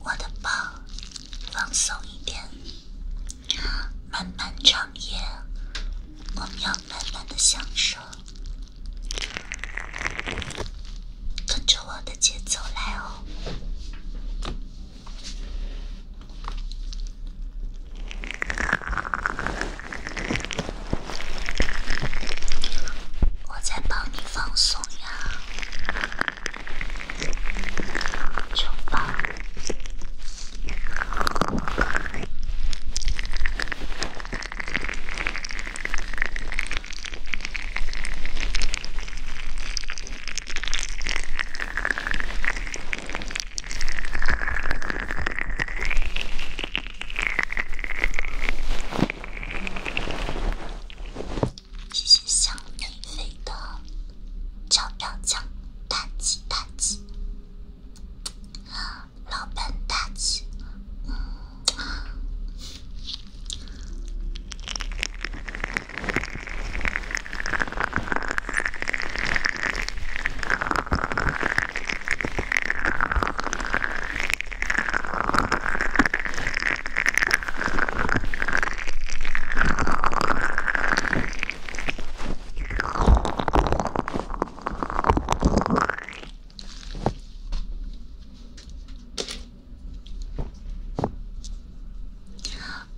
我的宝，放松一点，漫漫长夜，我们要慢慢的享受，跟着我的节奏来哦。我在帮你放松呀，就放。谢谢小米飞的超表奖，大吉大吉，老本大吉。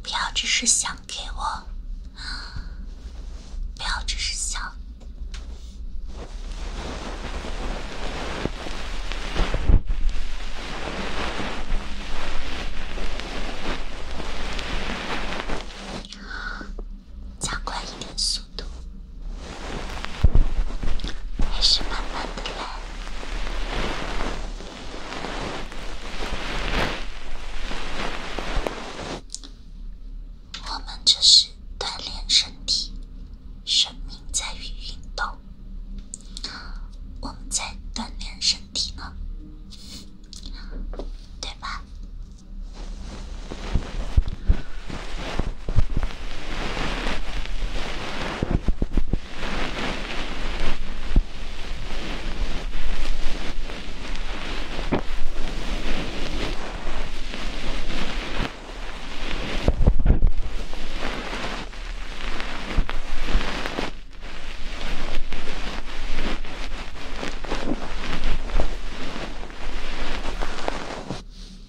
不要只是想。给我，不要只是想，速度，还是慢慢的来。我们这是锻炼身体，生命在于运动，我们在锻炼身体呢，对吧？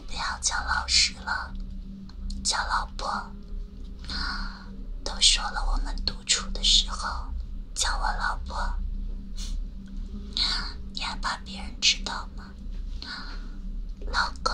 不要叫老师了，叫老婆。都说了，我们独处的时候叫我老婆，你还怕别人知道吗，老公？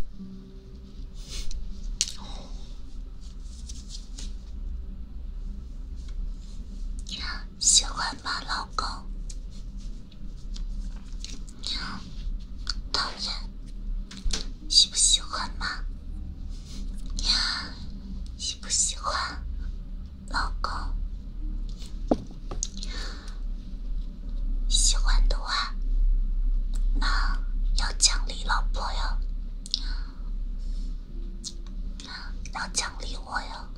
喜欢吗，老公？讨厌？喜不喜欢吗？喜不喜欢，老公？喜欢的话，那要奖励老婆哟，要奖励我哟。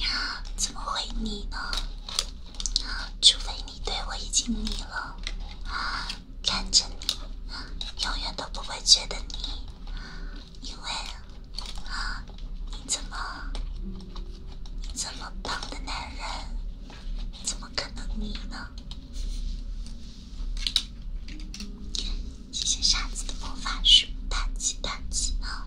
呀，怎么会腻呢？除非你对我已经腻了。看着你，永远都不会觉得腻，因为啊，你怎么，这么棒的男人，怎么可能腻呢？谢谢沙子的魔法书，大吉大吉啊！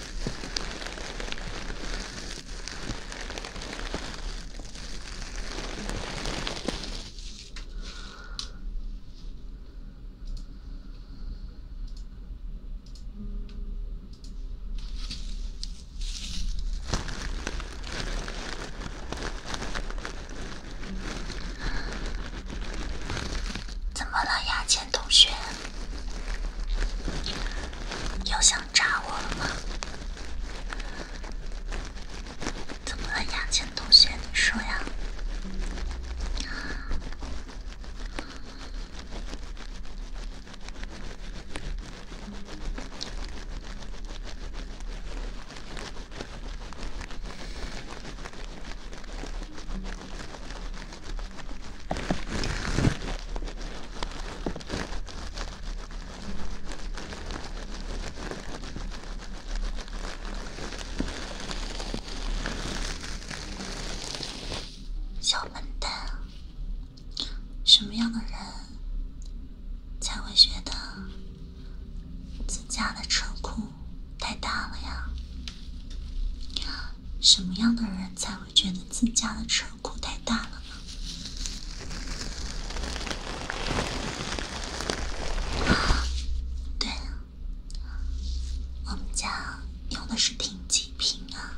怎么了，雅姐？同学，又想扎我了吗？怎么了呀，钱同学？你说呀。小笨蛋，什么样的人才会觉得自家的车库太大了呀？什么样的人才会？觉得自家的车库太大了对，我们家用的是停机坪啊。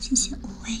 谢谢五味。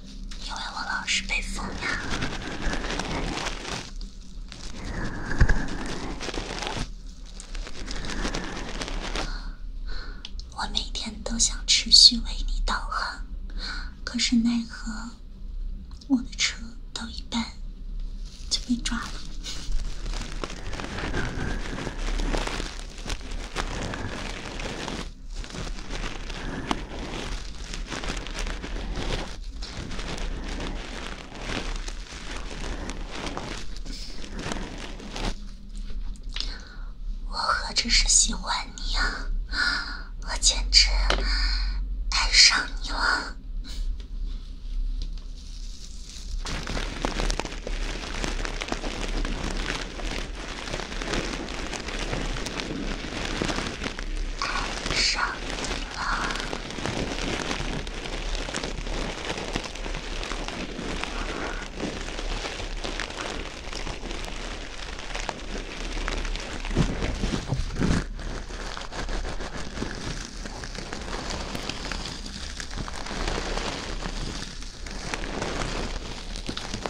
因为我老是被封呀，我每天都想持续为你导航，可是奈何我的车到一半就被抓了。我何止是喜欢你啊，我简直爱上你了。太冷了。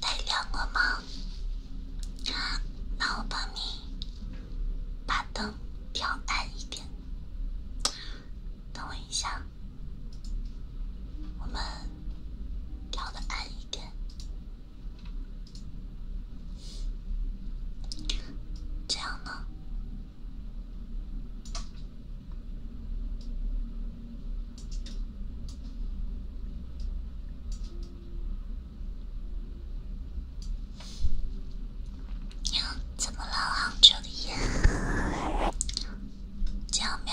太亮了吗？那我帮你把灯调暗一点。等我一下，我们调的暗一点。这样呢？怎么了啊，助理？这样没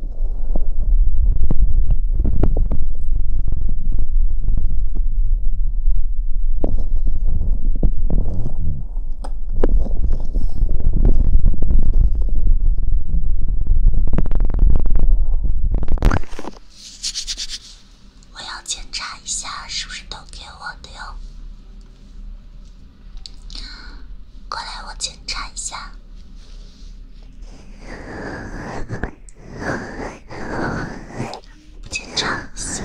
我要检查一下，是不是都给我的哟。过来，我检查一下。不紧张，醒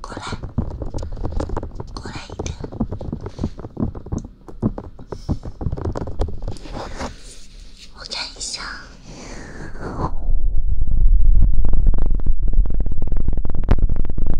过来，过来一点。我看一下。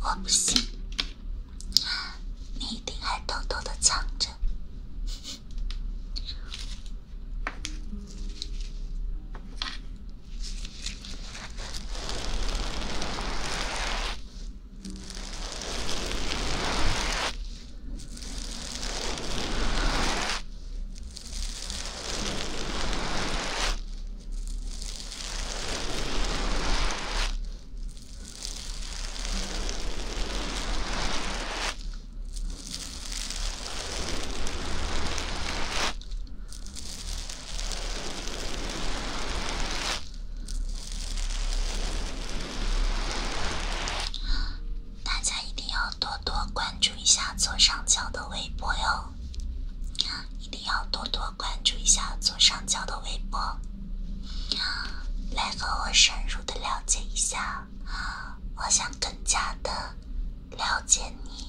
我不信，你一定还偷偷的藏着。大家一定要多多关注一下左上角的微博哟。一定要多多关注一下左上角的微博，来和我深入的了解一下。我想更加的了解你。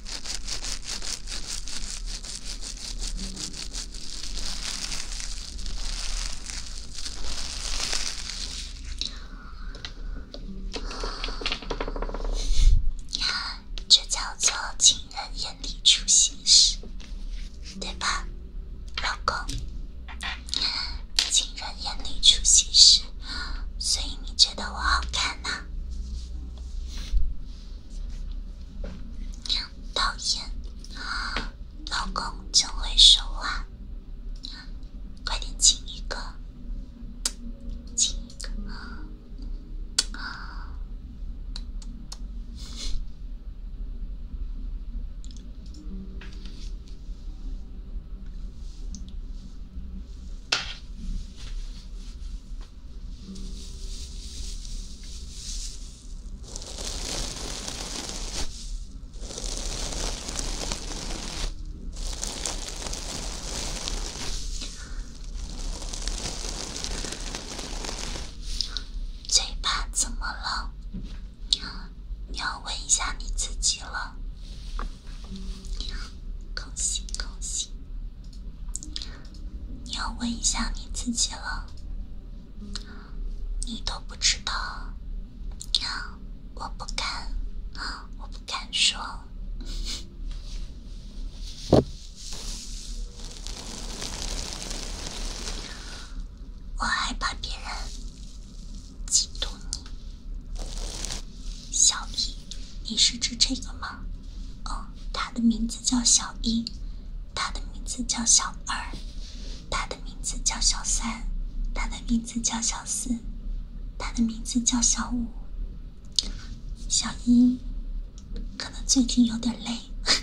这叫做情人眼里出新事，对吧，老公？情人眼里出新事，所以你觉得我好看呢？导演，老公真会说话，快点亲一个，亲一个啊！嘴巴怎么了？你要问一下你自己了。恭喜恭喜！你要问一下你自己了，你都不知道，我不敢，我不敢说，我害怕别人嫉妒你。小一，你是指这个吗？哦，他的名字叫小一，他的名字叫小二，他的名字叫小三，他的名字叫小四，他的名字叫小五。小一可能最近有点累。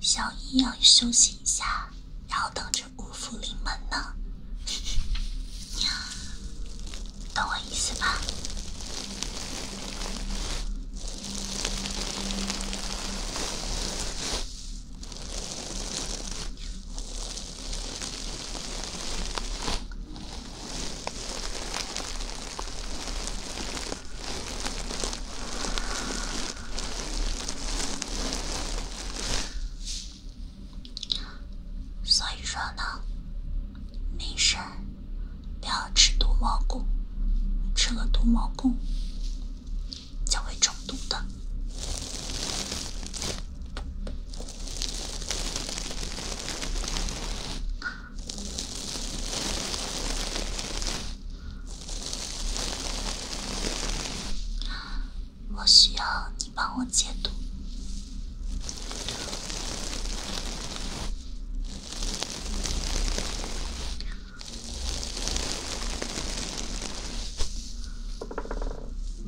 小姨要休息一下，然后等着五福临门呢，懂我意思吧？所以说呢，没事不要吃毒蘑菇，吃了毒蘑菇就会中毒的。我需要你帮我解毒。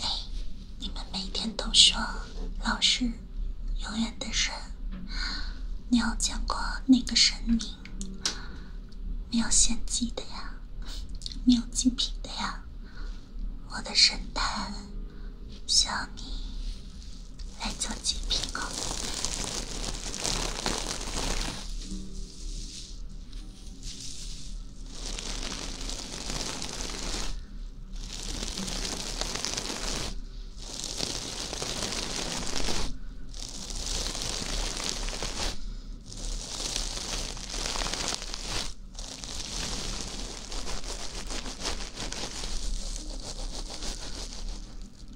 哎，你们每天都说老师永远的神，你有见过那个神明？没有献祭的呀，没有祭品的呀，我的神坛需要你来做祭品哦。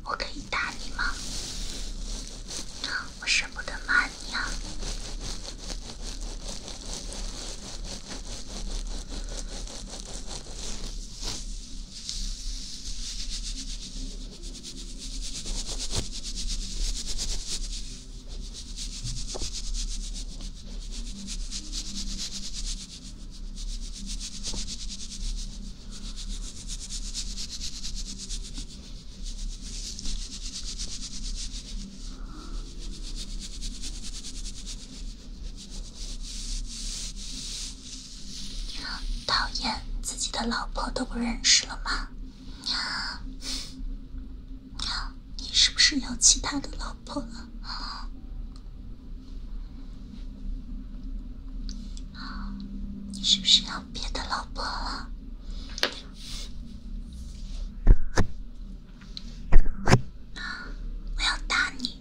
我可以打你吗？我舍不得骂你啊。讨厌自己的老婆都不认识了吗？娘，娘，你是不是有其他的老婆了？你是不是有别的老婆了？我要打你！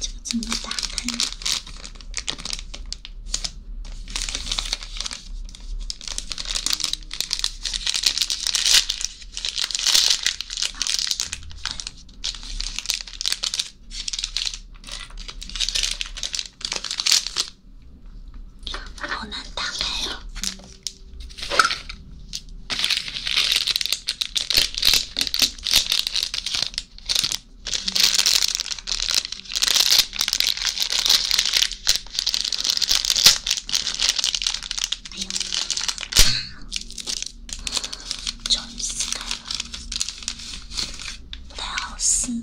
就怎么打开，好难打开呀！哎呦！终于撕开了，不太好撕。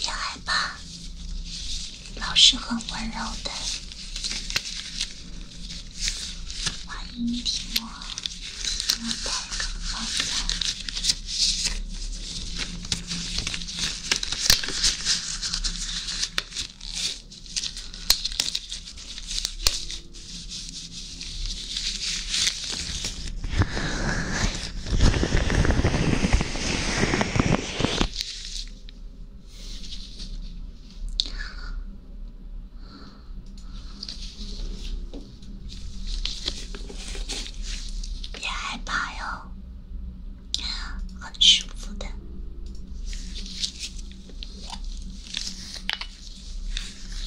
别害怕，老师很温柔的。欢迎听我讲一个好故别害怕哟，很舒服的。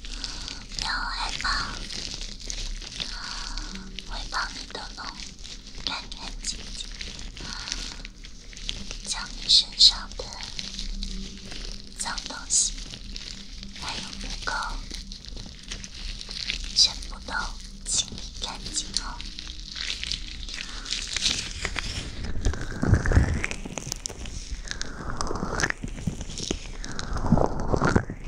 不要害怕，我会帮你都弄干干净净，将你身上的脏东西还有污垢全部都清理干净哦。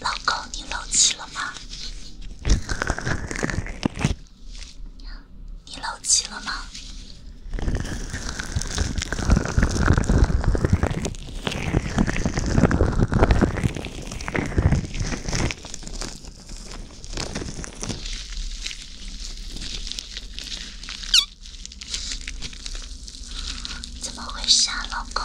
老公，你搂气了吗？你搂气了吗？怎么回事啊，老公？